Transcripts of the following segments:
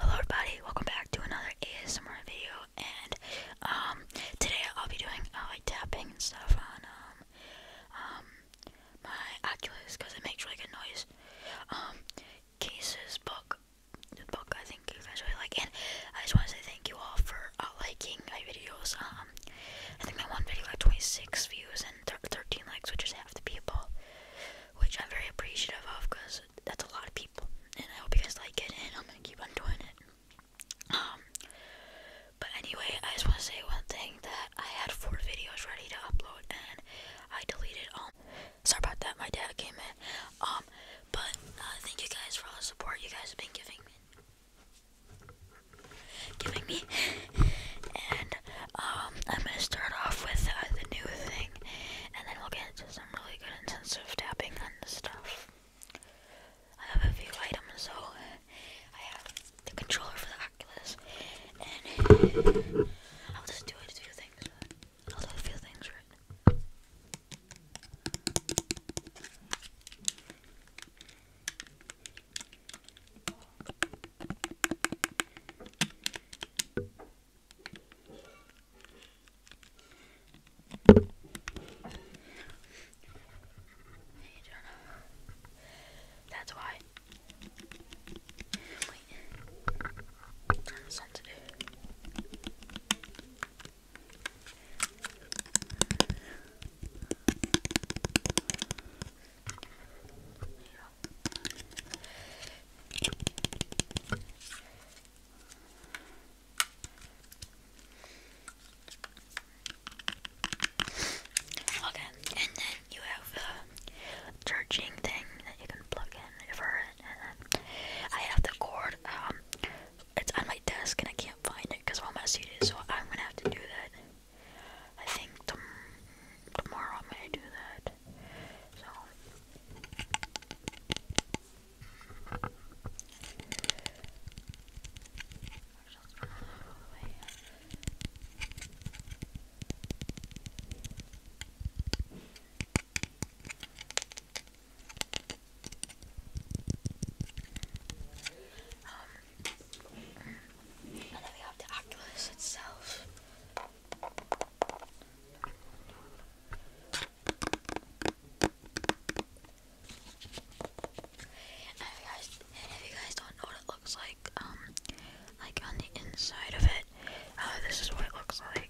Hello everybody, welcome back to another ASMR video, and, um, today I'll be doing, uh, like, tapping and stuff on, um, um my Oculus, because it makes really good noise, um, Case's book, the book I think you guys like, and I just want to say thank you all for, uh, liking my videos, um, I think my one video got 26 views and 13 likes, which is half the people, which I'm very appreciative of, because that's a lot of people, and I hope you guys like it, and I'm gonna keep on doing it. Um, but anyway, I just want to say one thing that I had four videos ready to upload, and I deleted all. Sorry about that, my dad came in. Um, but uh, thank you guys for all the support you guys have been giving me. Giving me, and um, I'm gonna start off with uh, the new thing, and then we'll get heads as i really good and tapping on the stuff. I have a few items, so I have the controller for the Oculus, and I'll just do a few things. I'll do a few things right. That's why. Wait. Sensitive. Yeah. Okay, and then you have the charging thing that you can plug in for it. I have the cord. Um, it's on my desk and I can't find it because of how messy it is. So I'm gonna have to do that. I think tomorrow I'm gonna do that. So um, and then we have the Oculus itself. And guys, and if you guys don't know what it looks like, um, like on the inside of it, uh, this is what it looks like. okay.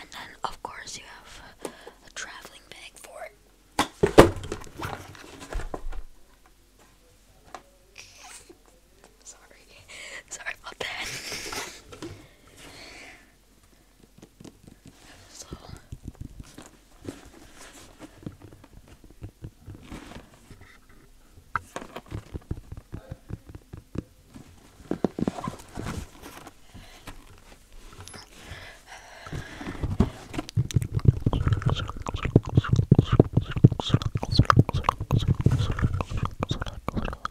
And then, of course, you have a traveling bag for it. Sorry. Sorry about that. so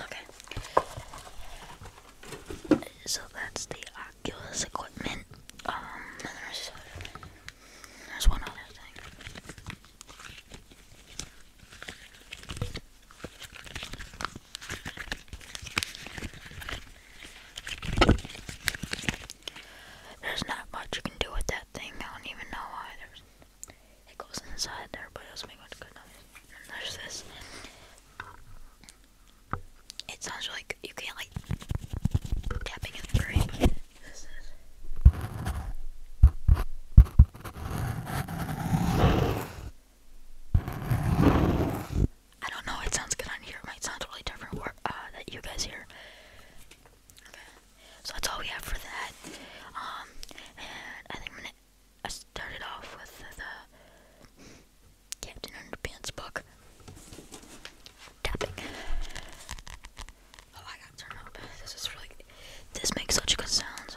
Okay. So that's the Oculus equipment. Um, there's one other thing. There's not much you can do with that thing. I don't even know why there's. It goes inside there, but it doesn't make much good noise. And there's this. It sounds like you can't like tapping in the grave. This is. I don't know. It sounds good on here. It might sound totally different where, uh, that you guys hear. Okay. So that's all we have for that. Um, and I think I'm gonna. I started off with the Captain Underpants book. Tapping. Oh, I got turned up. This is really. This makes such good sounds.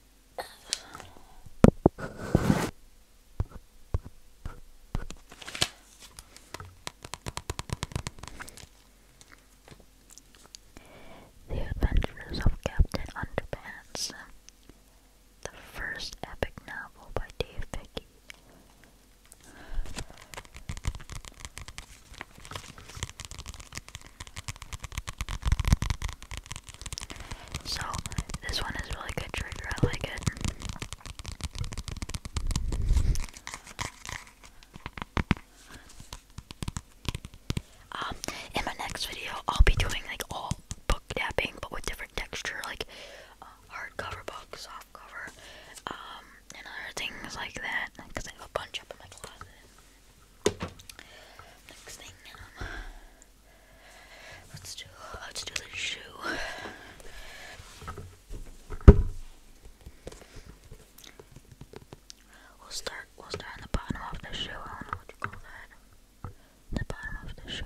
The Adventures of Captain Underpants, the first epic novel by Dave Pickey. So this one is really good trigger, I like it. Um, in my next video, I'll be doing like all book tapping, but with different texture, like uh, hardcover book, soft um, and other things like that. Because I have a bunch up in my closet. Next thing, um, Let's do let's do the shoe. We'll start we'll start on the bottom of the shoe. I don't know what you call that. The bottom of the shoe.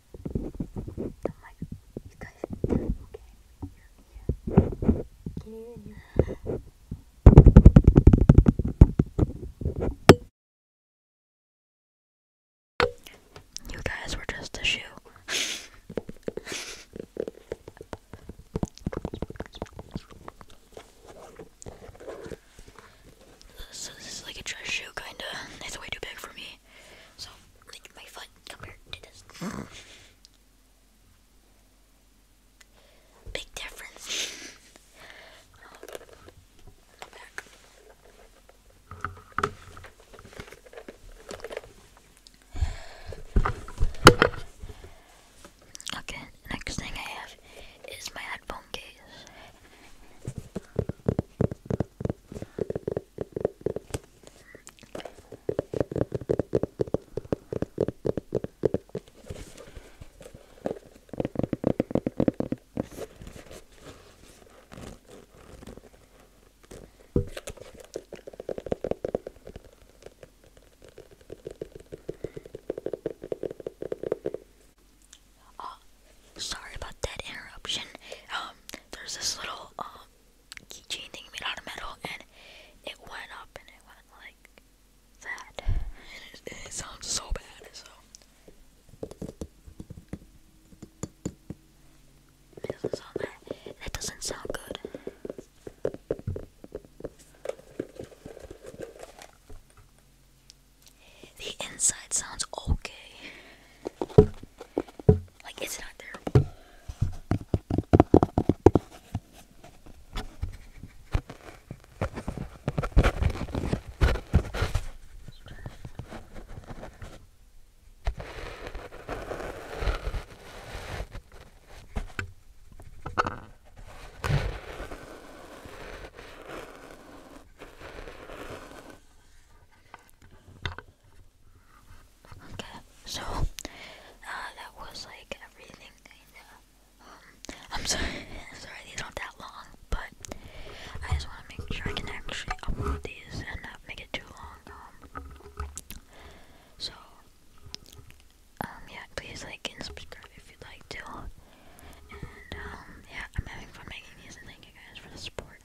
you guys, were just a shoe. This is like a dress shoe, kinda. It's way too big for me. So, like my foot compared to this. Big difference. Okay, next thing I have is my headphone case. Oh, sorry about that interruption. Um, there's this little um keychain thing made out of metal, and it went up and it went like that. it, sounds so bad, It doesn't sound good. The inside sounds okay. Like, it's not there. Okay, so uh, that was like everything. Uh, um, I'm sorry, these aren't that long, but I just want to make sure I can actually upload these and not make it too long. Um, so um, yeah, please like and subscribe if you'd like to. And yeah, I'm having fun making these, and thank you guys for the support.